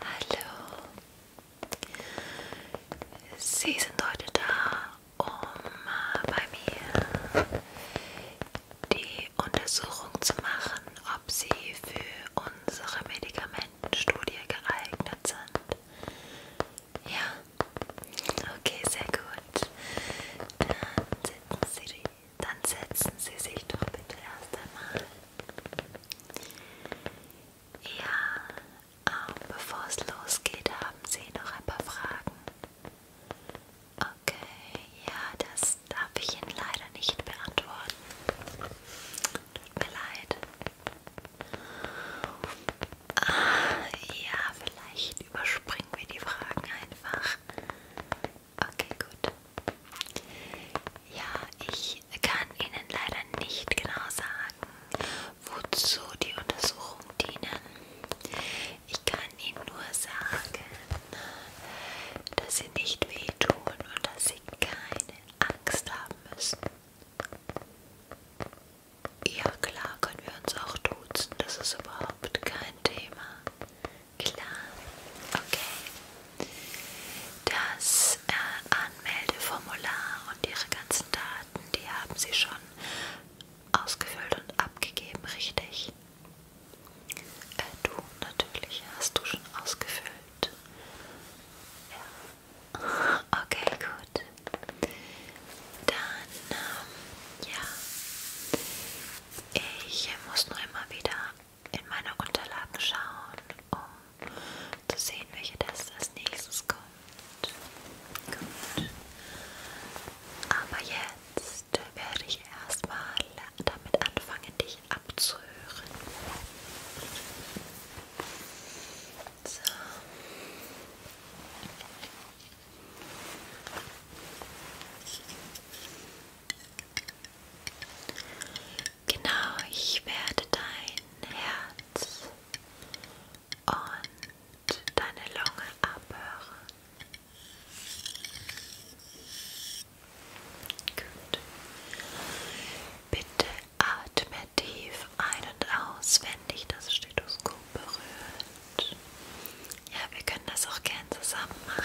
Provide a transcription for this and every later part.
Hallo. Sie sind heute da, um bei mir die Untersuchung zu machen, ob Sie für unsere Medikamentenstudie geeignet sind. Ja? Okay, sehr gut. Dann sitzen Sie dann setzen Sie sich doch bitte erst einmal. Ja, auch ähm, bevor es losgeht, haben Sie noch ein paar Fragen. Okay, ja, das darf ich Ihnen leider nicht beantworten. Tut mir leid. Ah, ja, vielleicht überspringen wir die Fragen einfach. Okay, gut. Ja, ich kann Ihnen leider nicht genau sagen, wozu die Untersuchungen dienen. Ich kann Ihnen nur sagen, dass Sie nicht wehtun und dass Sie keine Angst haben müssen. Ja, klar können wir uns auch duzen, das ist überhaupt kein Thema. Klar, okay. Das äh, Anmeldeformular und Ihre ganzen Daten, die haben Sie schon ausgefüllt und abgegeben, richtig? Äh, du natürlich hast du schon ausgefüllt. Ja. Okay, gut. Dann, ähm, ja. Ich muss nur immer wieder in meine Unterlagen schauen, um zu sehen, welche Tests als nächstes kommt. Gut. Aber jetzt werde ich erstmal damit anfangen, dich abzuhören. So. Genau, ich werde dein Herz und deine Lunge abhören. Gut. Bitte atme tief ein und aus, wenn dich das Stethoskop berührt. Ja, wir können das auch gern zusammen machen.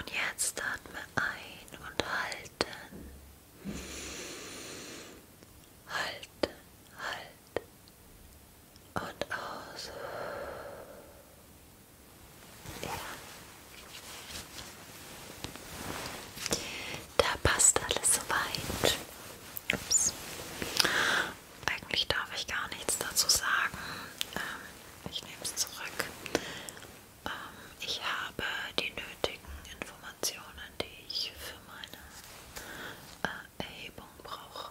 Und jetzt atme ein und halten. Halten, halten. Und aus. Ja. Da passt alles soweit. Ups. Eigentlich darf ich gar nichts dazu sagen. Ähm, ich nehme es zurück. Ähm, ich habe die nötigen Informationen, die ich für meine äh, Erhebung brauche.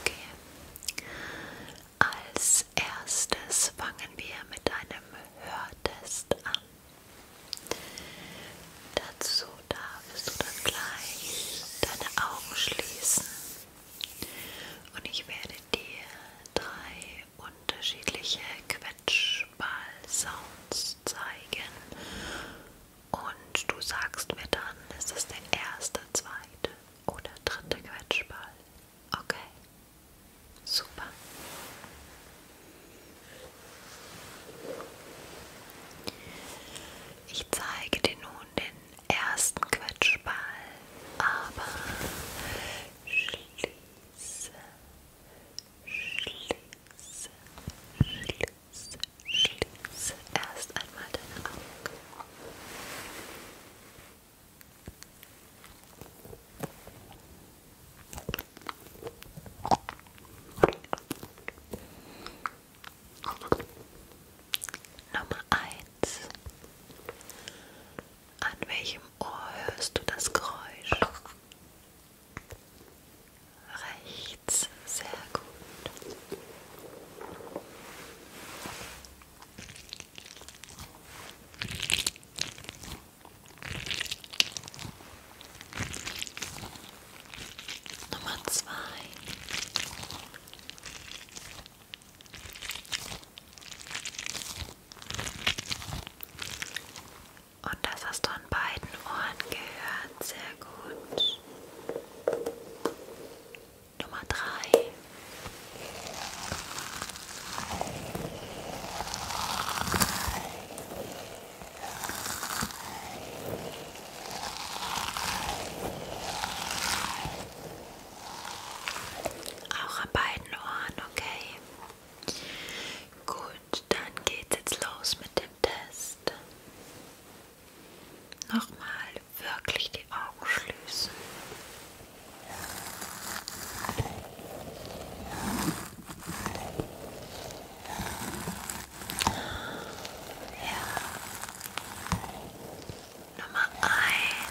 Okay. Als erstes fangen wir mit einem Hörtest an. Dazu darfst du dann gleich deine Augen schließen und ich werde dir drei unterschiedliche Quetschball-Sounds zeigen und du sagst mir dann, ist es der erste, zweite oder dritte Quetschball. Okay, super. Ich zeige dir nun den ersten Quetschball, aber schließe, schließe, schließe, schließe erst einmal deine Augen. Nummer eins an welchem Ohr hörst du das Geräusch? Rechts, sehr gut. Nummer zwei. Und das hast du an beiden Ohren gehört. Sehr gut. Nummer drei. Auch an beiden Ohren, okay? Gut, dann geht's jetzt los mit dem Test. Nochmal wirklich die Augen schließen. Ja. Nummer eins.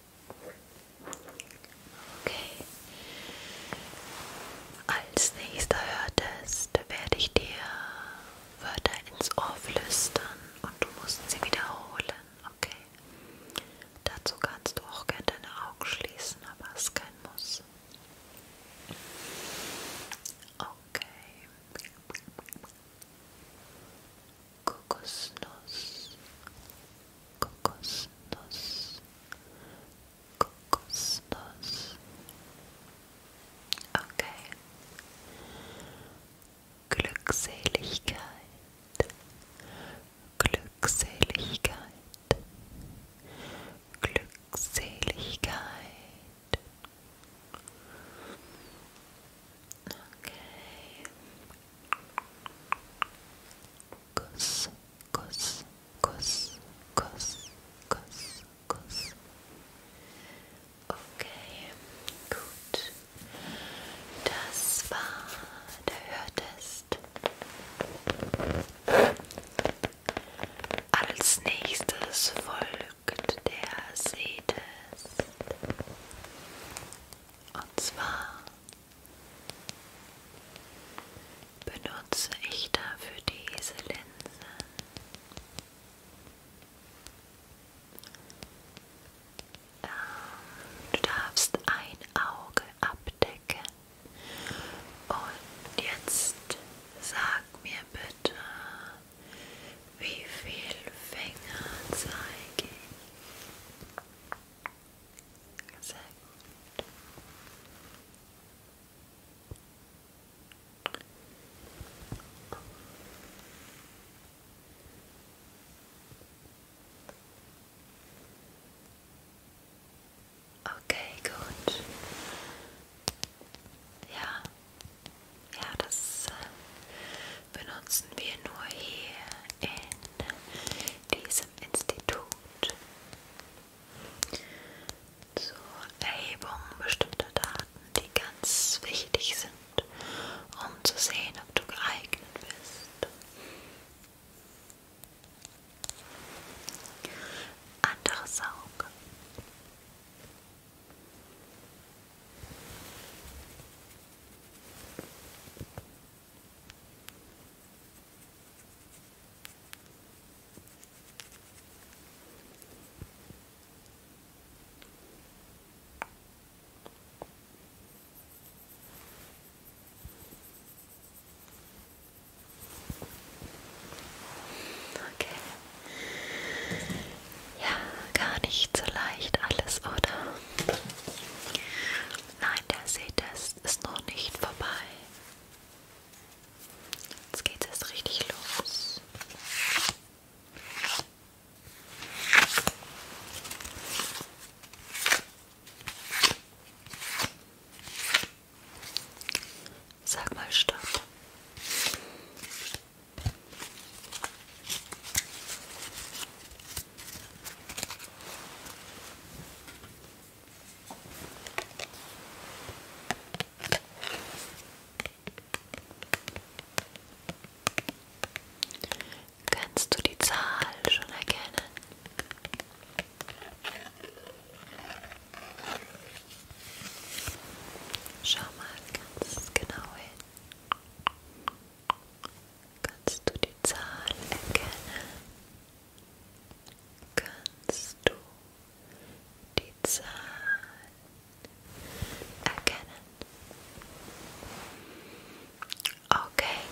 Okay. Als nächster Hörtest werde ich dir Wörter ins Ohr flüstern und du musst sie wiederholen, okay? Dazu kannst du auch gerne deine Augen schließen, aber es ist kein Muss. Okay. kokosnos kokosnos kokosnos okay Glückseligkeit Glückseligkeit Glückseligkeit Okay. Kuss, Kuss, Kuss, Kuss, Kuss, Kuss. Okay, gut. Das war der Hörtest. Als nächstes folgt der Sehtest. Und zwar benutze ich dafür diese Linse. Ähm, du darfst ein Auge abdecken und jetzt sag mir bitte, wie viel Finger zeige ich? Sehr gut. Okay, gut. Ja, ja, das äh, benutzen wir nur hier in diesem Institut zur Erhebung bestimmter Daten, die ganz wichtig sind, um zu sehen, ob du geeignet bist. Anderes Auge. Okay. Ja, gar nicht so leicht alles, oder? Nein, der Sehtest ist noch nicht vorbei. Jetzt geht es richtig los. Sag mal Stopp. Kannst du die Zahl schon erkennen? Schau mal ganz genau hin. Kannst du die Zahl erkennen? Kannst du die Zahl erkennen? Okay.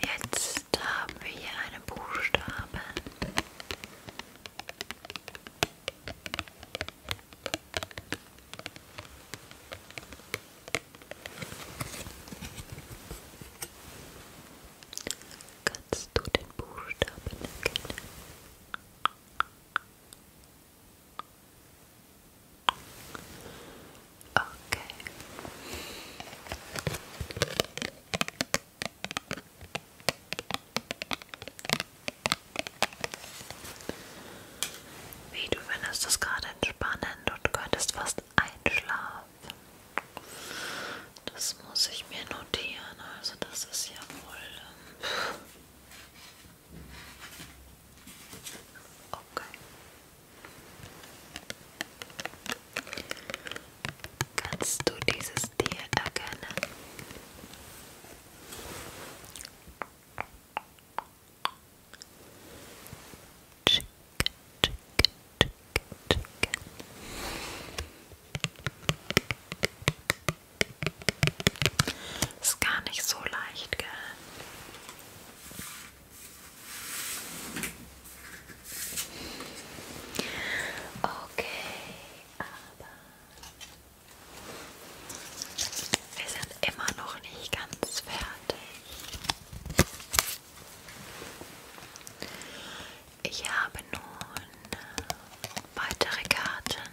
Jetzt haben wir hier einen Buchstaben. Kannst du den Buchstaben erkennen? Okay. Wie du findest es gerade entspannend und könntest fast einschlafen. Das muss ich mir notieren. Also das ist ja wohl... Ähm, okay. Kannst du dieses Tier erkennen? Chicken, chicken, chicken, chicken. Ist gar nicht so leicht, gell? Okay, aber wir sind immer noch nicht ganz fertig. Ich habe nun weitere Karten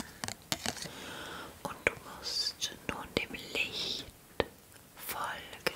und du musst nun dem Licht folgen.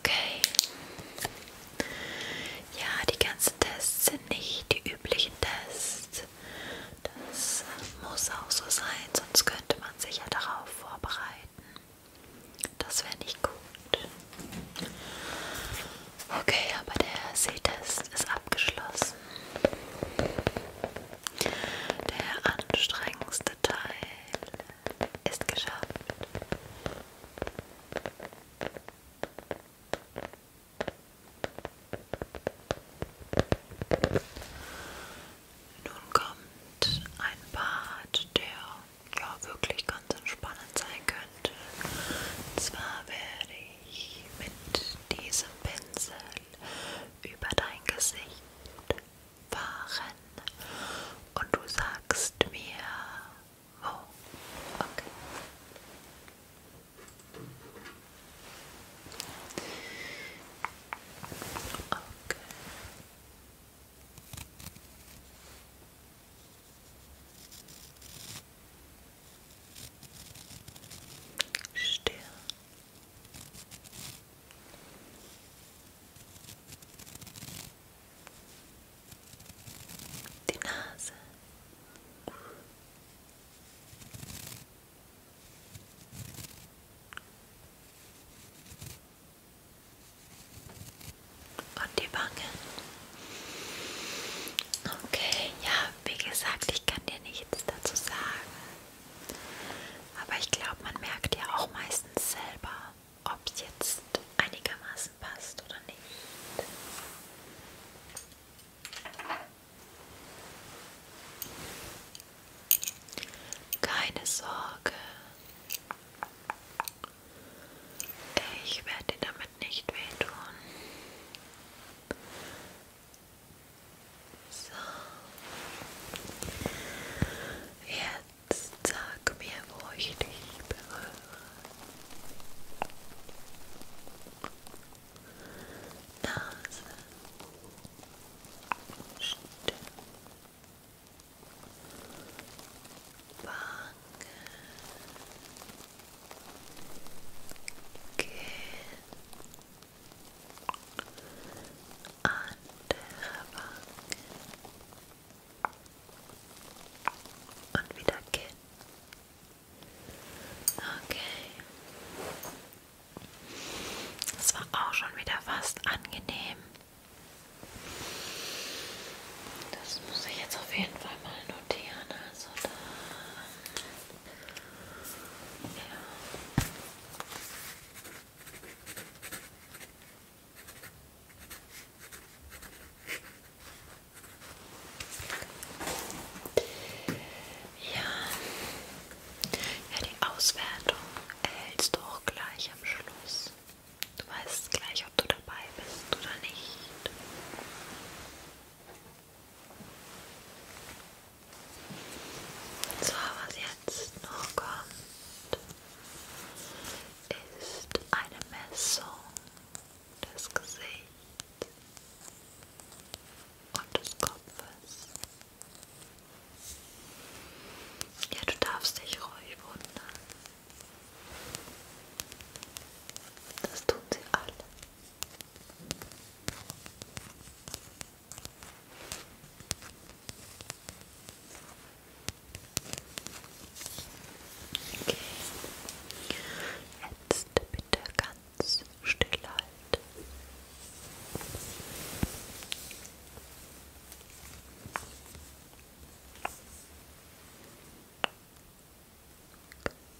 Okay. Ja, die ganzen Tests sind nicht die üblichen Tests. Das muss auch so sein, sonst könnte man sich ja darauf vorbereiten. Das wäre nicht gut. Okay, aber der Sehtest ist abgeschlossen. Der anstrengendste Teil ist geschafft. Nun kommt ein Part, der ja wirklich ganz ganz entspannend sein könnte. Und zwar werde ich mit diesem Pinsel über dein Gesicht fahren und du sagst mir, wo. Okay. Okay. Stirn. Die Nase. Und die Wangen. Okay, ja, wie gesagt, ich kann dir nichts dazu sagen. Aber ich glaube, man merkt ja auch meistens selber, ob es jetzt einigermaßen passt oder nicht. Keine Sorge. Ich werde dir damit nicht wehtun. So. Jetzt sag mir, wo ich dich berühre. Nase. Stirn. Bahn gehen andere Wange und wieder Kinn okay das war auch schon wieder fast angenehm das muss ich jetzt auf jeden Fall mal notieren. Also da. Ja. Ja. ja, die Auswertung erhältst du auch gleich am Schluss. Du weißt gleich, ob du dabei bist oder nicht. So, was jetzt noch kommt, ist eine Messung des Gesichts und des Kopfes. Ja, du darfst dich ruhig wundern. Das tun sie alle. Okay. Jetzt bitte ganz still halten.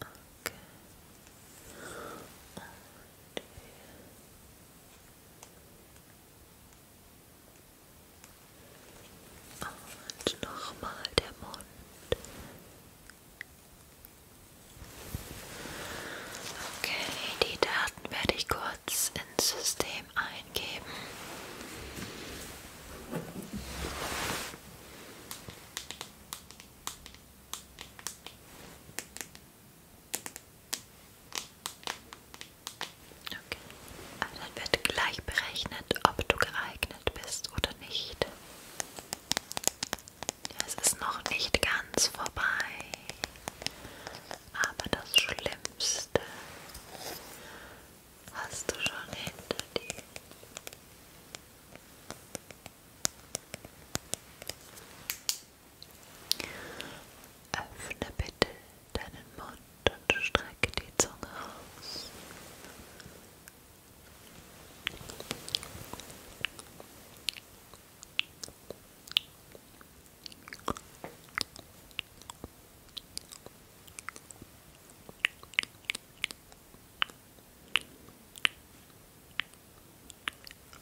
Okay. Und und nochmal der Mund. Okay, die Daten werde ich kurz ins System eingeben. Okay. Aber also dann wird gleich berechnet, ob du geeignet bist oder nicht. Ja, es ist noch nicht ganz vorbei, aber das Schlimmste hast du schon hinter dir. Öffne bitte deinen Mund und strecke die Zunge aus.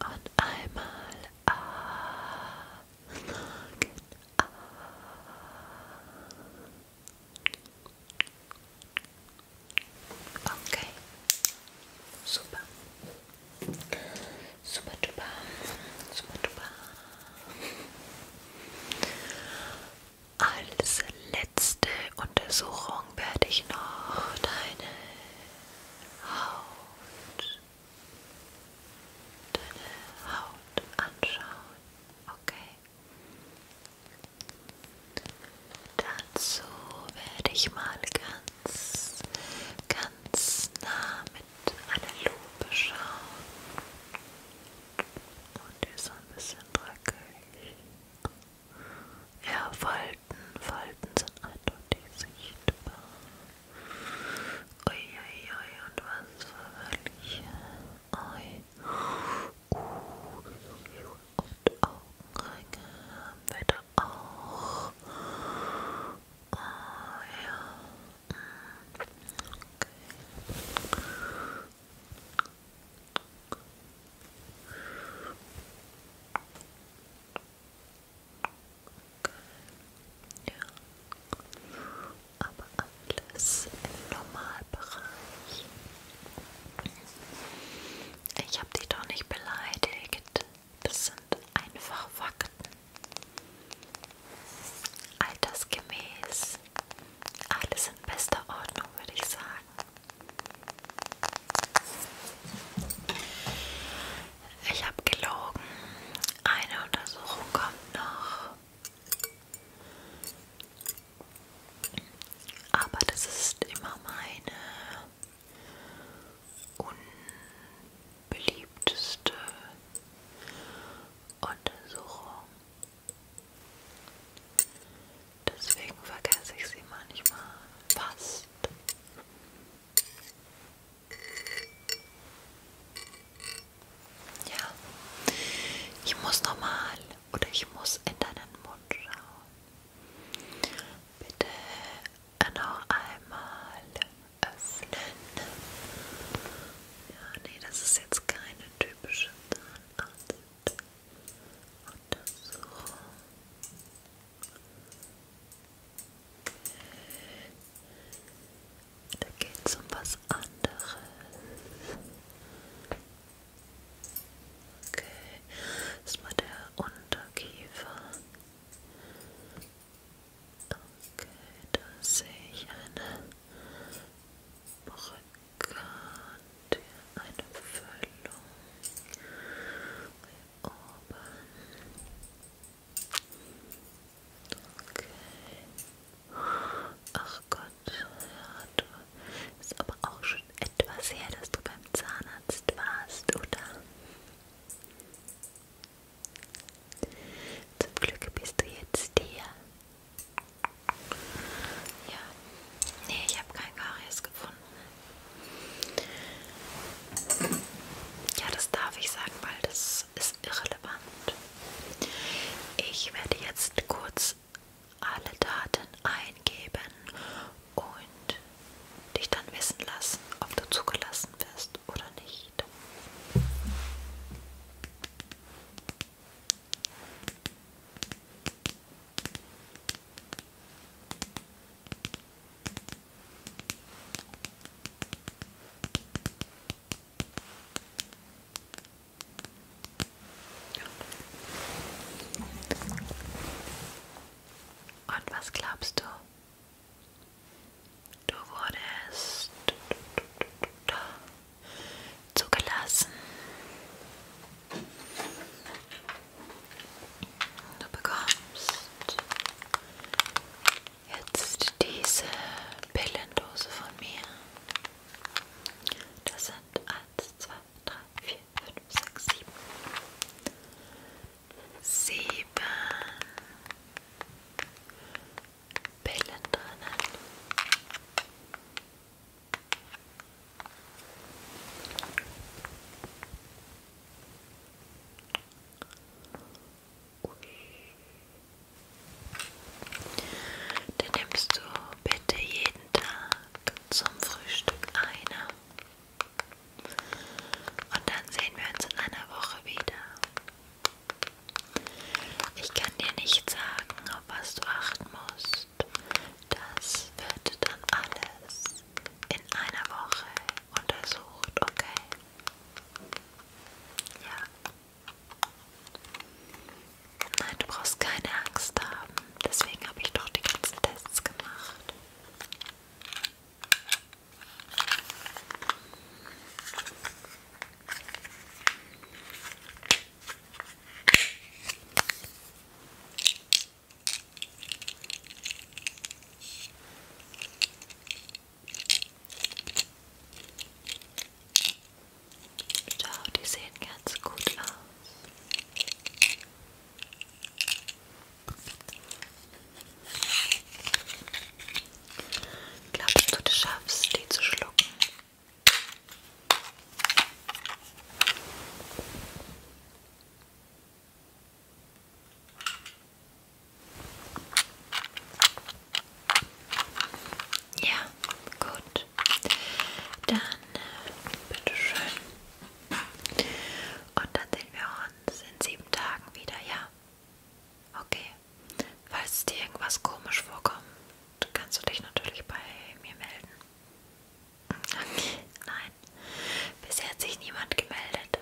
Und einmal ah. Okay. Super. Super duper. Super duper. Als letzte Untersuchung werde ich noch deine Haut, deine Haut anschauen. Okay. Dazu werde ich mal ganz, ganz nah mit einer Lupe schauen. Und die ist so ein bisschen dreckig. Ja, Falten. Falten sind eindeutig sichtbar. Uiuiui, ui, ui, und was für welche? Ui. Uh, und Augenringe haben wir da auch. Oh ja. Mm, okay. Okay. Ja. Aber alles im Normalbereich. Ich habe dich doch nicht beleidigt. Das sind einfach Fakten. Altersgemäß alles in bester Ordnung, würde ich sagen. Ich habe gelogen. Eine Untersuchung kommt noch. Aber das ist immer meine unbeliebteste Untersuchung. Deswegen vergesse ich sie manchmal fast. Ja, ich muss nochmal oder ich muss in deinen Mund schauen. Bitte noch einmal öffnen. Ja, nee, das ist jetzt keine typische Zahn. Arzt. Untersuchung. Da geht's um was anderes. Okay, das war der Unterkiefer. Okay, da sehe ich eine Brücke. Gott, eine Füllung hier oben. Okay. Ach Gott, ja, du ist aber auch schon etwas her, dass du beim Zahnarzt warst, oder? Zum Glück bist du jetzt hier. Ja, nee, ich habe kein Karies gefunden. Ja, das darf ich sagen, weil das ist irrelevant. Ich werde jetzt kurz alle Daten eingeben und dich dann wissen lassen, ob du zugelassen wirst oder nicht. Und was glaubst du? Du wurdest zugelassen. Du bekommst jetzt diese Pillendose von mir. Das sind 1, 2, 3, 4, 5, 6, 7. Sieben Pillen drinnen. Ui. Dann nimmst du bitte jeden Tag zum Frühstück eine. Und dann sehen wir uns in einer Woche wieder. Ich kann dir nicht sagen, auf was du achten musst. Das wird dann alles in einer Woche untersucht, okay? Ja. Nein, du brauchst keine Angst haben. Deswegen habe ich doch die ganzen Tests gemacht. Schau, die sehen ganz gut aus. Glaubst du, du schaffst, die zu schlucken? Ja, gut. Dann äh, bitteschön. Und dann sehen wir uns in sieben Tagen wieder, ja? Okay. Falls dir irgendwas komisch vorkommt, kannst du dich natürlich bei mir melden. Okay, nein. Bisher hat sich niemand gemeldet.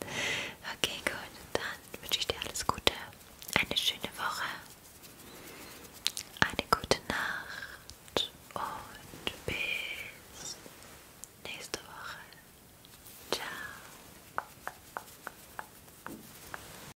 Okay, gut. Dann wünsche ich dir alles Gute. Eine schöne Woche. Eine gute Nacht. Und bis nächste Woche. Ciao.